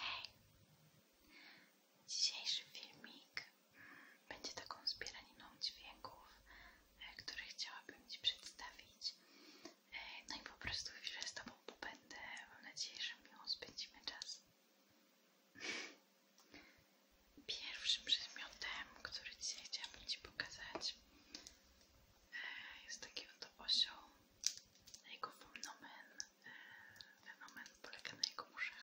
Hej! Dzisiejszy filmik będzie taką zbieraniną dźwięków, e, które chciałabym Ci przedstawić. E, no i po prostu chwilę z Tobą pobędę. Mam nadzieję, że miło spędzimy czas. Pierwszym przedmiotem, który dzisiaj chciałabym Ci pokazać, e, jest taki oto osioł. Jego fenomen polega na jego muszach.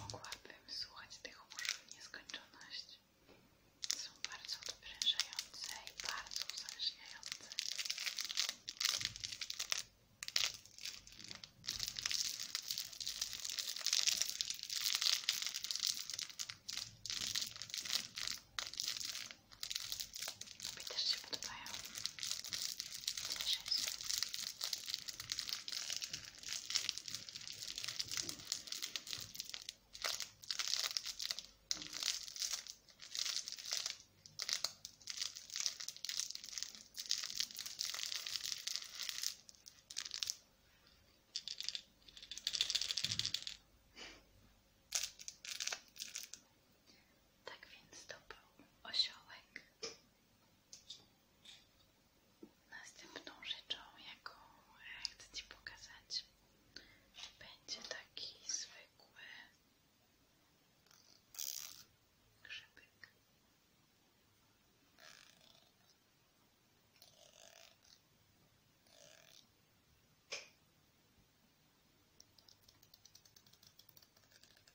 Mogłabym słuchać tych muszów w nieskończoność. Są bardzo odprężające i bardzo uzależniające. Tobie też się podobają. Cieszę się. Tak więc to był osiołek. Następną rzeczą, jaką e, chcę Ci pokazać, będzie taki zwykły grzybyk.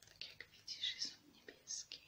Tak jak widzisz, niebieski.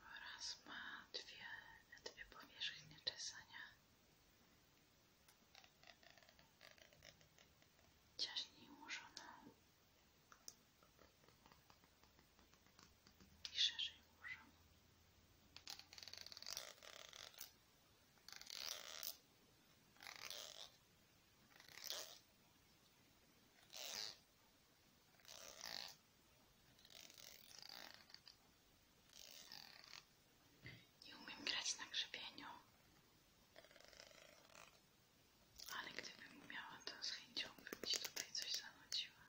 oraz ma dwie, dwie powierzchnie czesania ciaśniej ułożoną i szerzej ułożoną nie umiem grać na grzebieniu, ale gdybym umiała, to z chęcią bym tutaj coś zanudziła.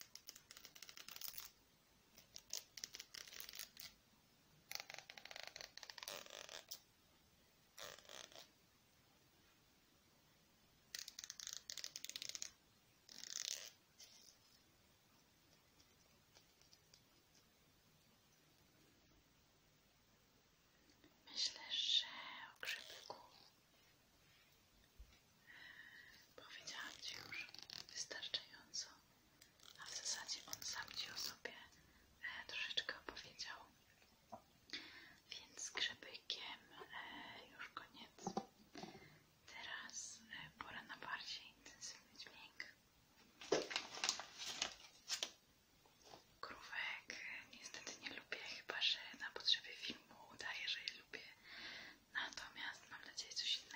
Myślę, że o grzybyku powiedziałam Ci już wystarczająco, a w zasadzie on sam Ci o sobie e, troszeczkę powiedział. Więc z grzebykiem e, już koniec. Teraz e, pora na bardziej intensywny dźwięk. Krówek niestety nie lubię, chyba że na potrzeby filmu udaję, że je lubię. Natomiast mam nadzieję coś innego.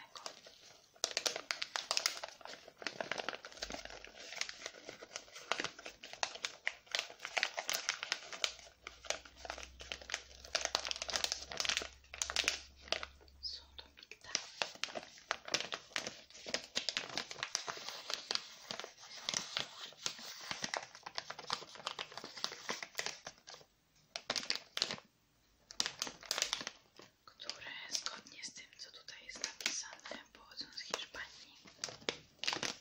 Które zgodnie z tym, co tutaj jest napisane, pochodzą z Hiszpanii.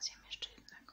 Zjem jeszcze jednego.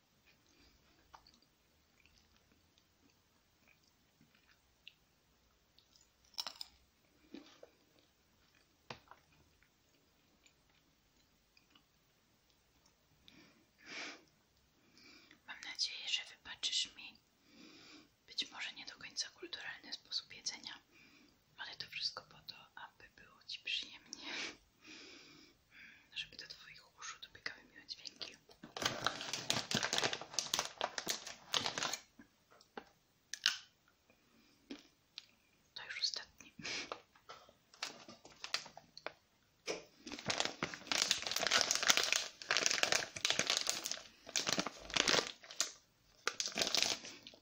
Mam nadzieję, że wybaczysz mi być może nie do końca kulturalny sposób jedzenia, ale to wszystko po to, aby było Ci przyjemnie. No, żeby do Twoich uszu dobiegały miłe dźwięki. To już ostatni.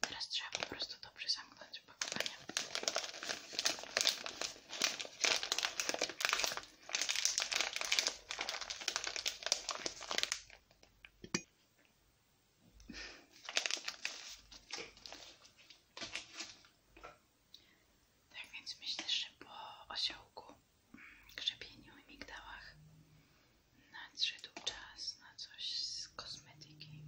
Teraz po prostu dobrze zamknąć opakowanie. Tak więc myślę, że po osiołku, grzebieniu mm, i migdałach nadszedł czas na coś z kosmetyki.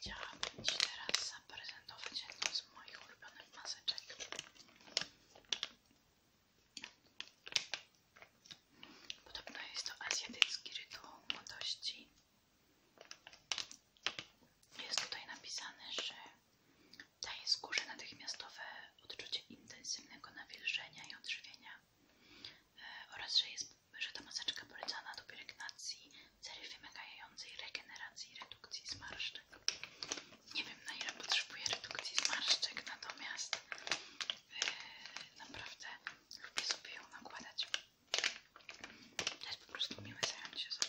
Chciałabym Ci teraz zaprezentować jedną z moich ulubionych maseczek. Podobno jest to azjatycki rytuał młodości. Jest tutaj napisane, że daje skórze natychmiastowe odczucie intensywnego nawilżenia i odżywienia. E, oraz, że, jest, że ta maseczka polecana do pielęgnacji, cery wymagającej regeneracji i redukcji zmarszczek. Nie wiem na ile potrzebuję redukcji zmarszczek, natomiast e, naprawdę lubię sobie ją nakładać. To jest po prostu miłe zająć się sobą.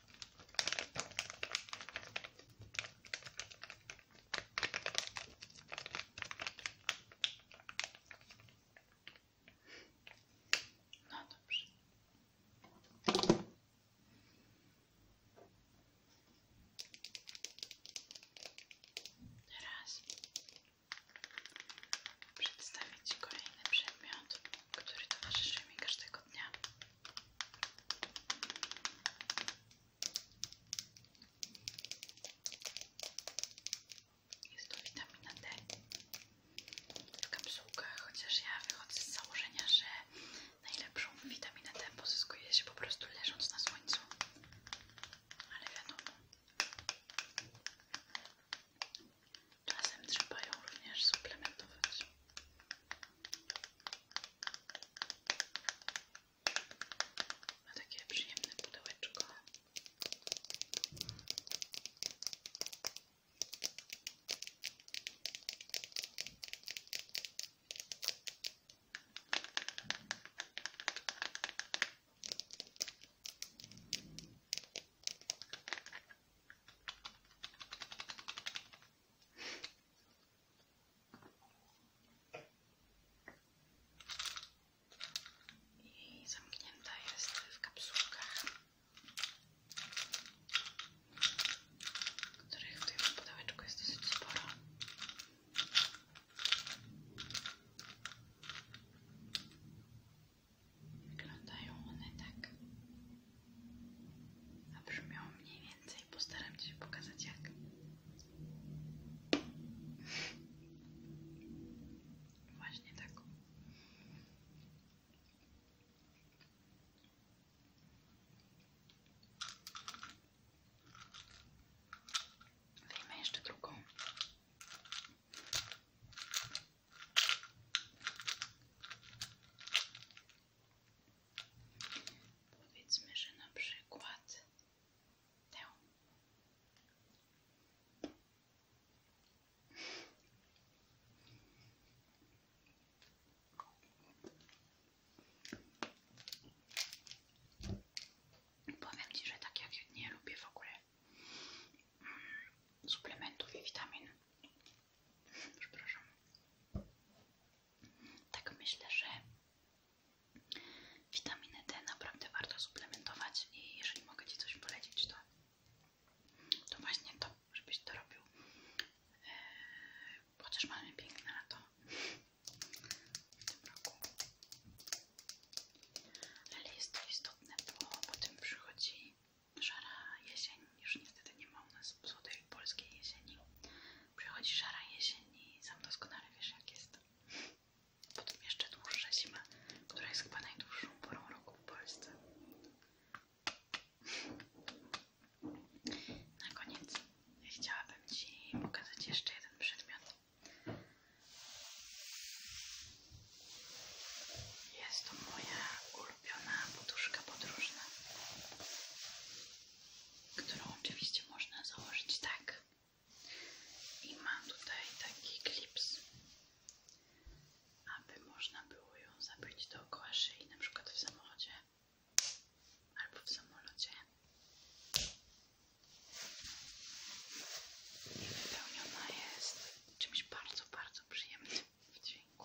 No dobrze. przedstawię Ci kolejny przedmiot, który towarzyszy mi każdego dnia. Jest to witamina D w kapsułkach, chociaż ja wychodzę z założenia, że najlepszą witaminę D pozyskuje się po prostu leżąc na słońcu. Ale wiadomo, Czasem trzeba ją również suplementować. Ma takie przyjemne pudełeczko. I zamknięta jest w kapsułkach, których w tym pudełeczku jest dosyć sporo. Wyglądają one tak. A brzmią mniej więcej. Postaram się pokazać jak. Właśnie tak. Wyjmę drugą. Powiedzmy, że na przykład Powiem Ci, że tak jak ja nie lubię w ogóle suplementów i witamin. Przepraszam. Tak myślę, że witaminę D naprawdę warto suplementować i jeżeli mogę Ci coś polecić, to, to właśnie to, żebyś to robił. E, chociaż mamy piękne lato w tym roku. Ale jest to istotne, bo potem przychodzi szara jesień, już niestety nie ma u nas złotej polskiej jesieni. Przychodzi szara jesień i sam doskonale wiesz jak jest. Potem jeszcze dłuższa zima, która jest chyba najdłuższą porą roku w Polsce. Na koniec chciałabym Ci pokazać jeszcze jeden przedmiot. Jest to moja ulubiona poduszka podróżna, którą oczywiście można założyć tak. I mam tutaj taki klips, aby można było ją zapiąć dookoła szyi, np. w samochodzie albo w samolocie. I wypełniona jest czymś bardzo, bardzo przyjemnym w dźwięku.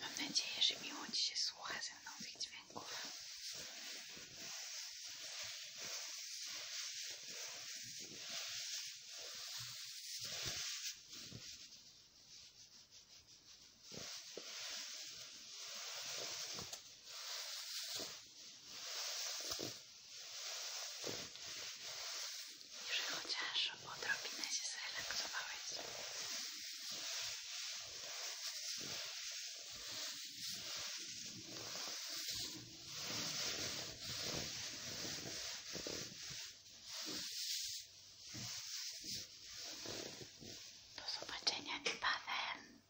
Mam nadzieję, że miło Ci się słucha ze mną tych dźwięków. Że chociaż odrobinę się zrelaksowałeś. Do zobaczenia i panem.